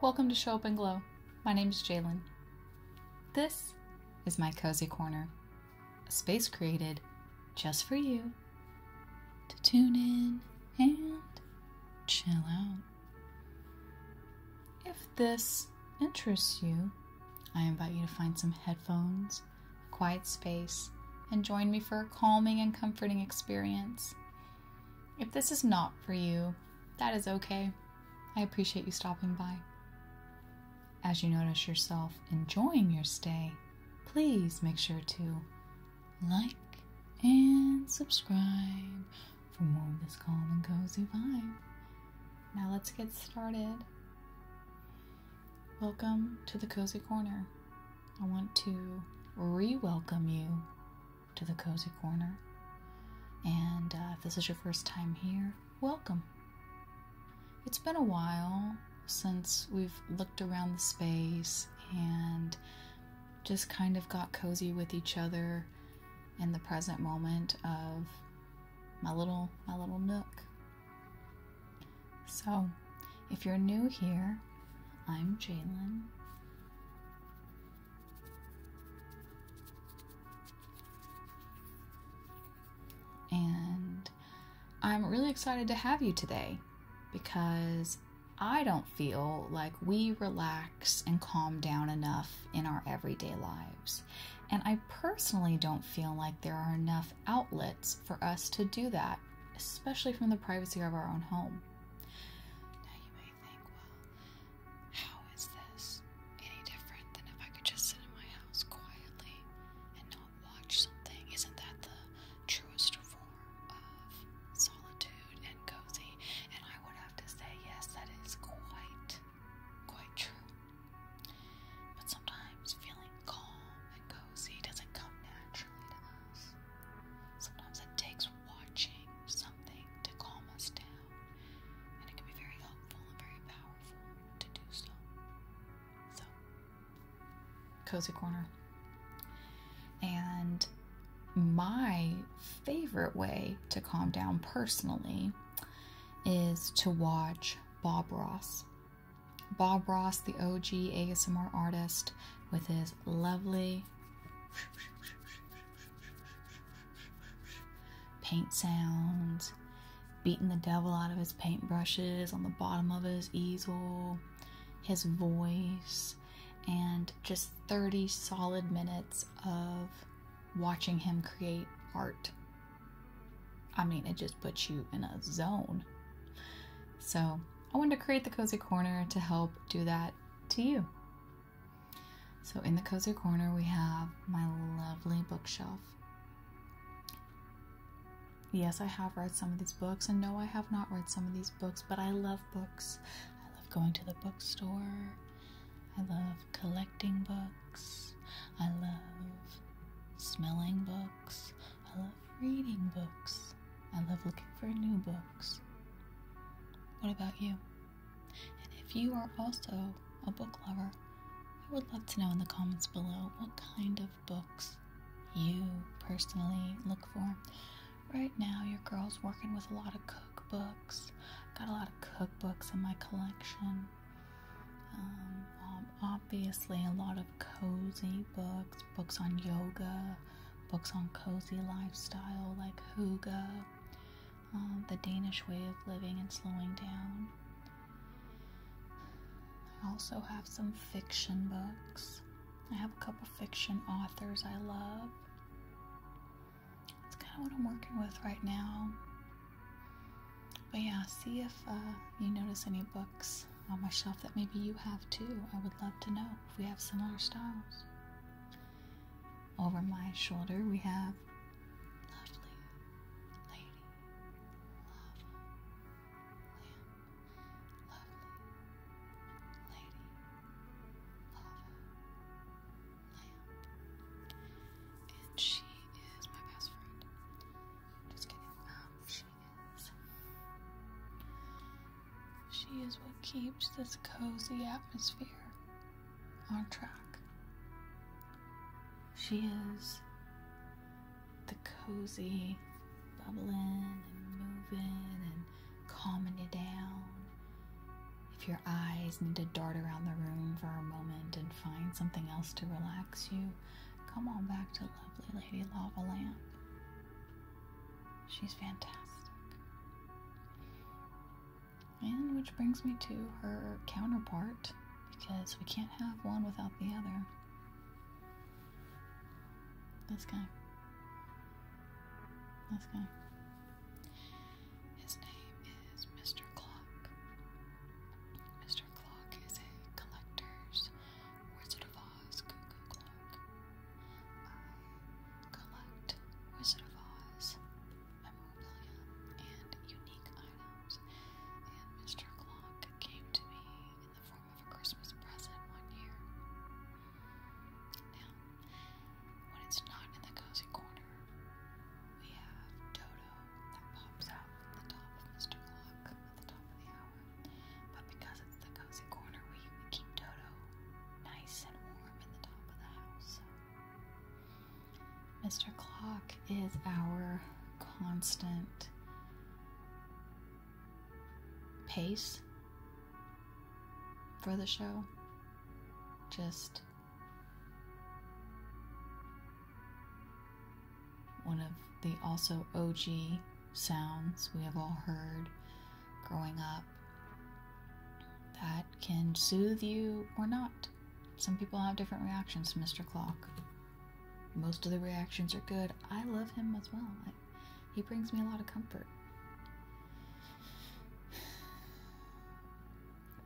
Welcome to Show Up and Glow. My name is Jalen. This is my cozy corner, a space created just for you to tune in and chill out. If this interests you, I invite you to find some headphones, a quiet space, and join me for a calming and comforting experience. If this is not for you, that is okay. I appreciate you stopping by. As you notice yourself enjoying your stay, please make sure to like and subscribe for more of this calm and cozy vibe. Now let's get started. Welcome to the Cozy Corner. I want to re welcome you to the Cozy Corner. And uh, if this is your first time here, welcome. It's been a while since we've looked around the space and just kind of got cozy with each other in the present moment of my little my little nook. So, if you're new here, I'm Jalen. And I'm really excited to have you today because I don't feel like we relax and calm down enough in our everyday lives. And I personally don't feel like there are enough outlets for us to do that, especially from the privacy of our own home. Now you may think, well, how is this any different than if I could just sit in my house quietly and not watch something? Isn't that the truest form of solitude? and cozy, and I would have to say, yes, that is quite, quite true. But sometimes feeling calm and cozy doesn't come naturally to us. Sometimes it takes watching something to calm us down, and it can be very helpful and very powerful to do so. So, cozy corner. And my favorite way to calm down personally is to watch Bob Ross. Bob Ross, the OG ASMR artist, with his lovely paint sounds, beating the devil out of his paintbrushes on the bottom of his easel, his voice and just 30 solid minutes of watching him create art. I mean, it just puts you in a zone. So, I wanted to create the Cozy Corner to help do that to you. So, in the Cozy Corner, we have my lovely bookshelf. Yes, I have read some of these books, and no, I have not read some of these books, but I love books. I love going to the bookstore. I love collecting books. I love smelling books. I love reading books. I love looking for new books. What about you? And if you are also a book lover, I would love to know in the comments below what kind of books you personally look for. Right now, your girl's working with a lot of cookbooks. Got a lot of cookbooks in my collection. Um, obviously, a lot of cozy books, books on yoga, books on cozy lifestyle like Huga, um, the Danish way of living and slowing down. I also have some fiction books. I have a couple fiction authors I love. That's kind of what I'm working with right now. But yeah, see if uh, you notice any books on my shelf that maybe you have too. I would love to know if we have similar styles. Over my shoulder, we have Lovely Lady Lava Lamp. Lovely Lady Lava Lamp. And she is my best friend. Just kidding. Um, she is. She is what keeps this cozy atmosphere on track. She is the cozy bubbling and moving and calming you down. If your eyes need to dart around the room for a moment and find something else to relax you, come on back to lovely Lady Lava Lamp. She's fantastic. And which brings me to her counterpart, because we can't have one without the other. This guy. This guy. His name is Mr. Clock. Mr. Clock is a collector's Wizard of Oz cuckoo clock. I collect Wizard of Oz memorabilia and unique items, and Mr. Clock came to me in the form of a Christmas present one year. Now, when it's not in the cozy corner, we have Dodo that pops out the top of Mr. Glock at the top of the hour. But because it's the cozy corner, we, keep Dodo nice and warm in the top of the house. Mr. Clock is our constant pace for the show. Just one of the also OG sounds we have all heard growing up that can soothe you or not. Some people have different reactions to Mr. Clock. Most of the reactions are good. I love him as well. He brings me a lot of comfort.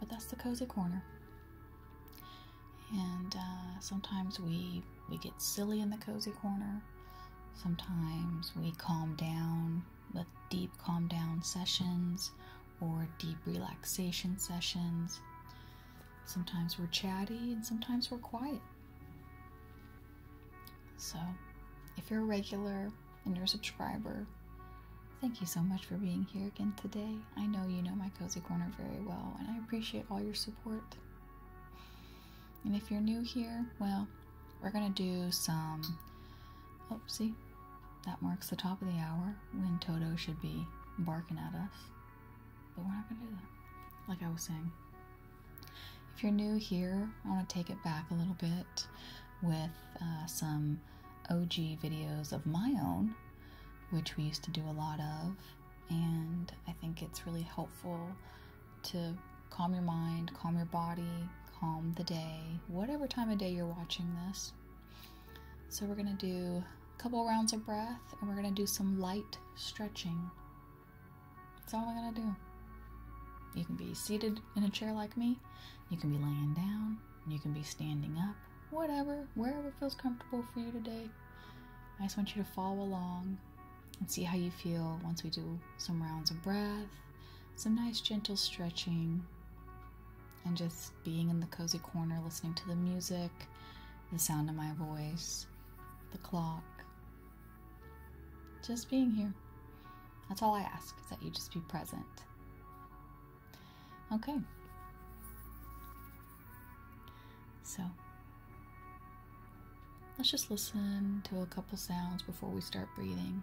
But that's the cozy corner. And uh, sometimes we we get silly in the cozy corner. Sometimes we calm down with deep calm down sessions or deep relaxation sessions. Sometimes we're chatty and sometimes we're quiet. So, if you're a regular and you're a subscriber, thank you so much for being here again today. I know you know my Cozy Corner very well, and I appreciate all your support. And if you're new here, well, we're going to do some. Oopsie, oh, that marks the top of the hour when Toto should be barking at us. But we're not going to do that, like I was saying. If you're new here, I want to take it back a little bit with uh, some OG videos of my own, which we used to do a lot of, and I think it's really helpful to calm your mind, calm your body, calm the day, whatever time of day you're watching this. So, we're going to do a couple rounds of breath and we're going to do some light stretching. That's all I gotta do. You can be seated in a chair like me, you can be laying down, you can be standing up, whatever, wherever feels comfortable for you today. I just want you to follow along and see how you feel once we do some rounds of breath, some nice gentle stretching, and just being in the cozy corner listening to the music, the sound of my voice, the clock, just being here. That's all I ask is that you just be present. Okay. So, let's just listen to a couple sounds before we start breathing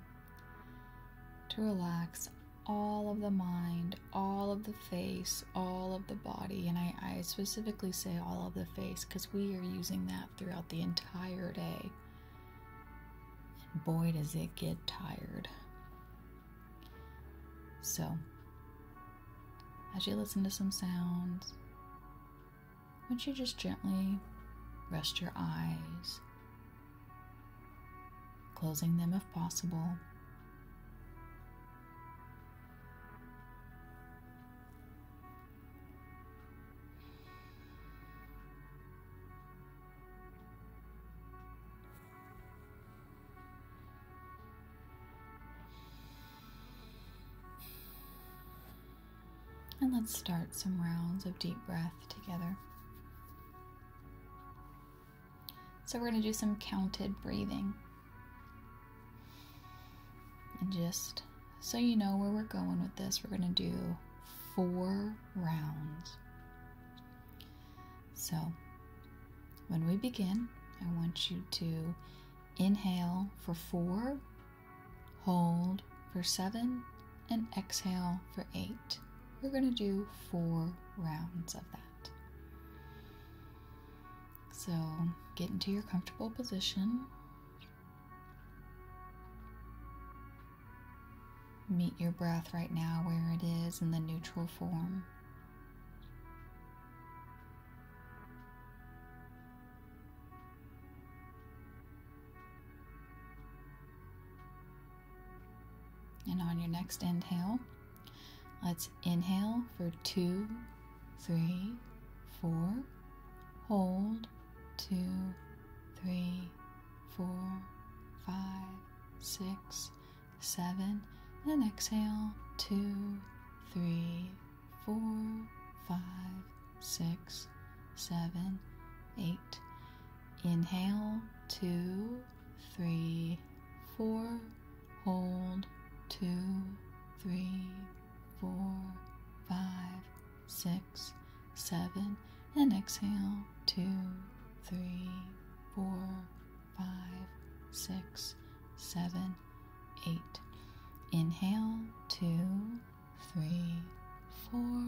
to relax all of the mind, all of the face, all of the body. And I, I specifically say all of the face because we are using that throughout the entire day. boy, does it get tired. So, as you listen to some sounds, would you just gently rest your eyes, closing them if possible? And let's start some rounds of deep breath together. So, we're going to do some counted breathing. And just so you know where we're going with this, we're going to do four rounds. So, when we begin, I want you to inhale for four, hold for seven, and exhale for eight. We're going to do four rounds of that. So get into your comfortable position. Meet your breath right now where it is in the neutral form. And on your next inhale, let's inhale for two three, four. Hold, two, three, four, five, six, seven, and exhale, two, three, four, five, six, seven, eight. Inhale, two, three, four, hold two, three, four, five, six, seven, and exhale two, three, four, five, six, seven, eight. Inhale two, three, four,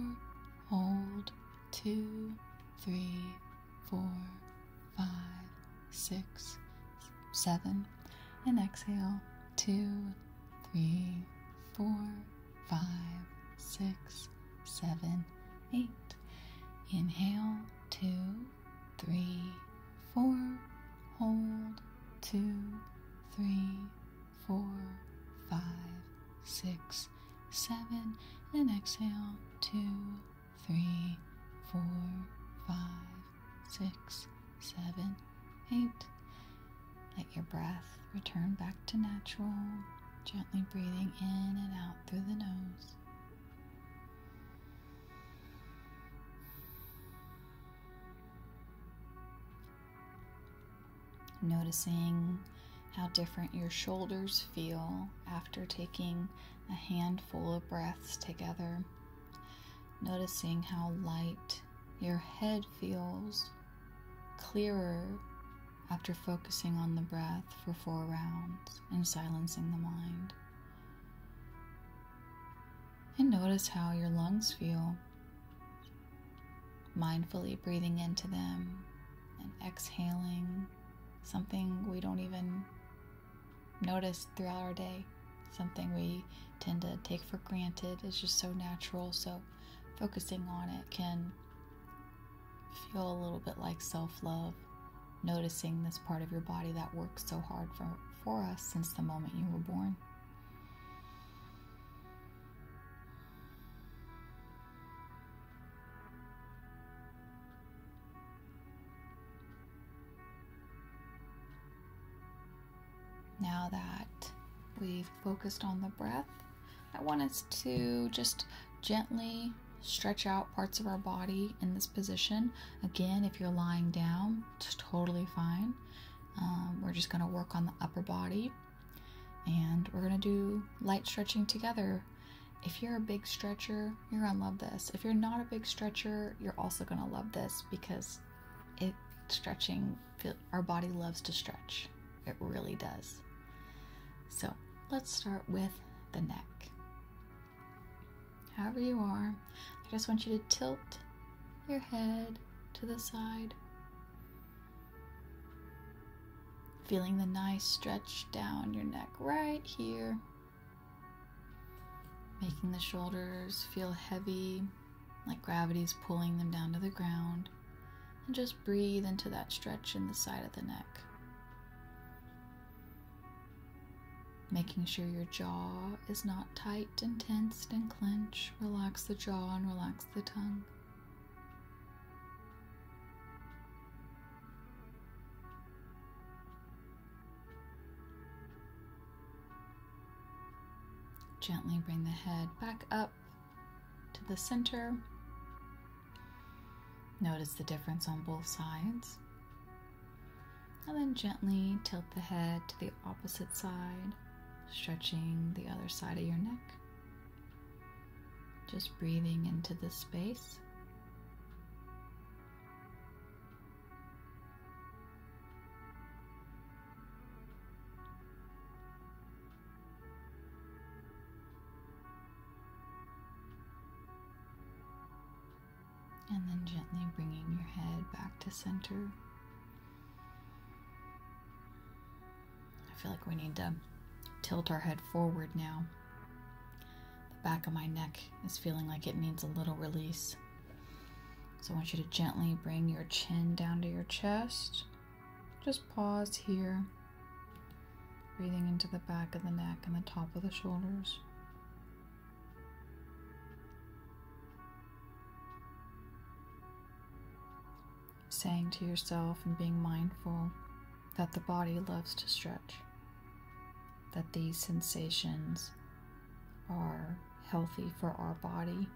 hold two, three, four, five six, seven, and exhale two, three, four, five, six, seven, eight. Inhale two, three, four, hold two, three, four, five, six, seven, and exhale two, three, four, five, six, seven, eight. Let your breath return back to natural, gently breathing in and out through the nose. Noticing how different your shoulders feel after taking a handful of breaths together. Noticing how light your head feels clearer after focusing on the breath for four rounds and silencing the mind. And notice how your lungs feel, mindfully breathing into them and exhaling something we don't even notice throughout our day. Something we tend to take for granted is just so natural. So, focusing on it can feel a little bit like self love, noticing this part of your body that works so hard for, for us since the moment you were born. Now that we've focused on the breath, I want us to just gently stretch out parts of our body in this position. Again, if you're lying down, it's totally fine. Um, we're just going to work on the upper body and we're going to do light stretching together. If you're a big stretcher, you're gonna love this. If you're not a big stretcher, you're also gonna love this because it stretching our body loves to stretch. It really does. So let's start with the neck. However you are, I just want you to tilt your head to the side. Feeling the nice stretch down your neck right here. Making the shoulders feel heavy, like gravity is pulling them down to the ground. And just breathe into that stretch in the side of the neck. Making sure your jaw is not tight and tensed and clenched. Relax the jaw and relax the tongue. Gently bring the head back up to the center. Notice the difference on both sides. And then gently tilt the head to the opposite side, stretching the other side of your neck. Just breathing into this space. And then gently bringing your head back to center. I feel like we need to tilt our head forward now the back of my neck is feeling like it needs a little release. So I want you to gently bring your chin down to your chest. Just pause here, breathing into the back of the neck and the top of the shoulders. Saying to yourself and being mindful that the body loves to stretch, that these sensations are healthy for our body.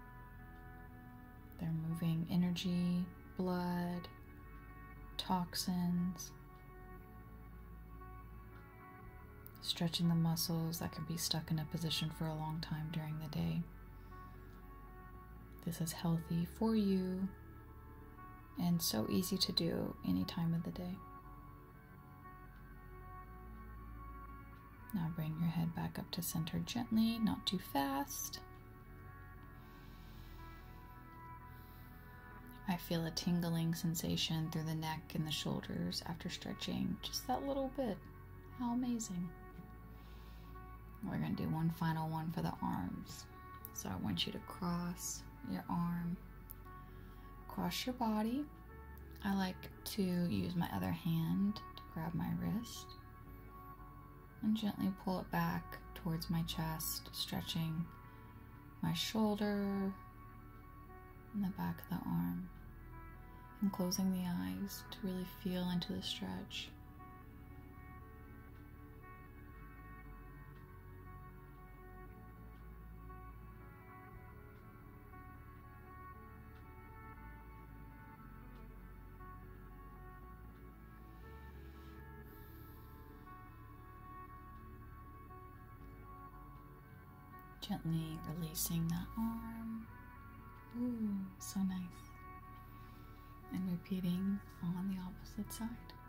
They're moving energy, blood, toxins, stretching the muscles that can be stuck in a position for a long time during the day. This is healthy for you and so easy to do any time of the day. Now bring your head back up to center gently, not too fast. I feel a tingling sensation through the neck and the shoulders after stretching just that little bit. How amazing! We're going to do one final one for the arms. So I want you to cross your arm, cross your body. I like to use my other hand to grab my wrist and gently pull it back towards my chest, stretching my shoulder and the back of the arm. And closing the eyes to really feel into the stretch. Gently releasing that arm. Ooh, so nice. And repeating on the opposite side.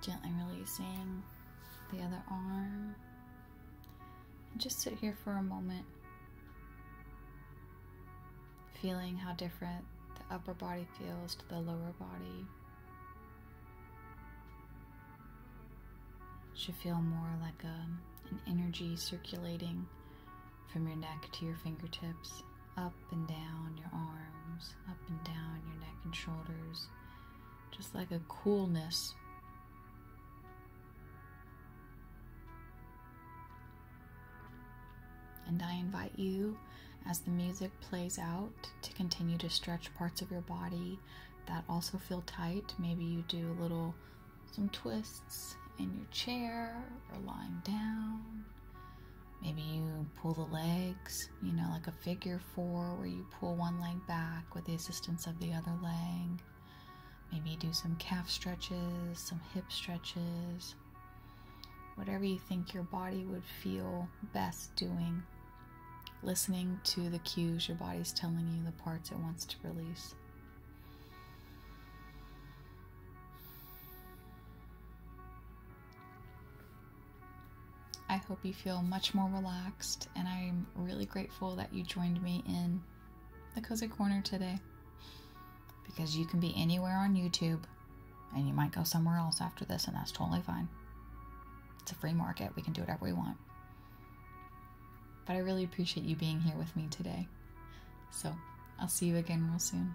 Gently releasing the other arm. And just sit here for a moment, feeling how different the upper body feels to the lower body. Should feel more like a, an energy circulating from your neck to your fingertips, up and down your arms, up and down your neck and shoulders, just like a coolness. And I invite you, as the music plays out, to continue to stretch parts of your body that also feel tight. Maybe you do a little some twists in your chair or lying down. Maybe you pull the legs, you know, like a figure four where you pull one leg back with the assistance of the other leg. Maybe do some calf stretches, some hip stretches, whatever you think your body would feel best doing. Listening to the cues your body's telling you the parts it wants to release. I hope you feel much more relaxed, and I'm really grateful that you joined me in the Cozy Corner today because you can be anywhere on YouTube and you might go somewhere else after this, and that's totally fine. It's a free market, we can do whatever we want. But I really appreciate you being here with me today. So, I'll see you again real soon.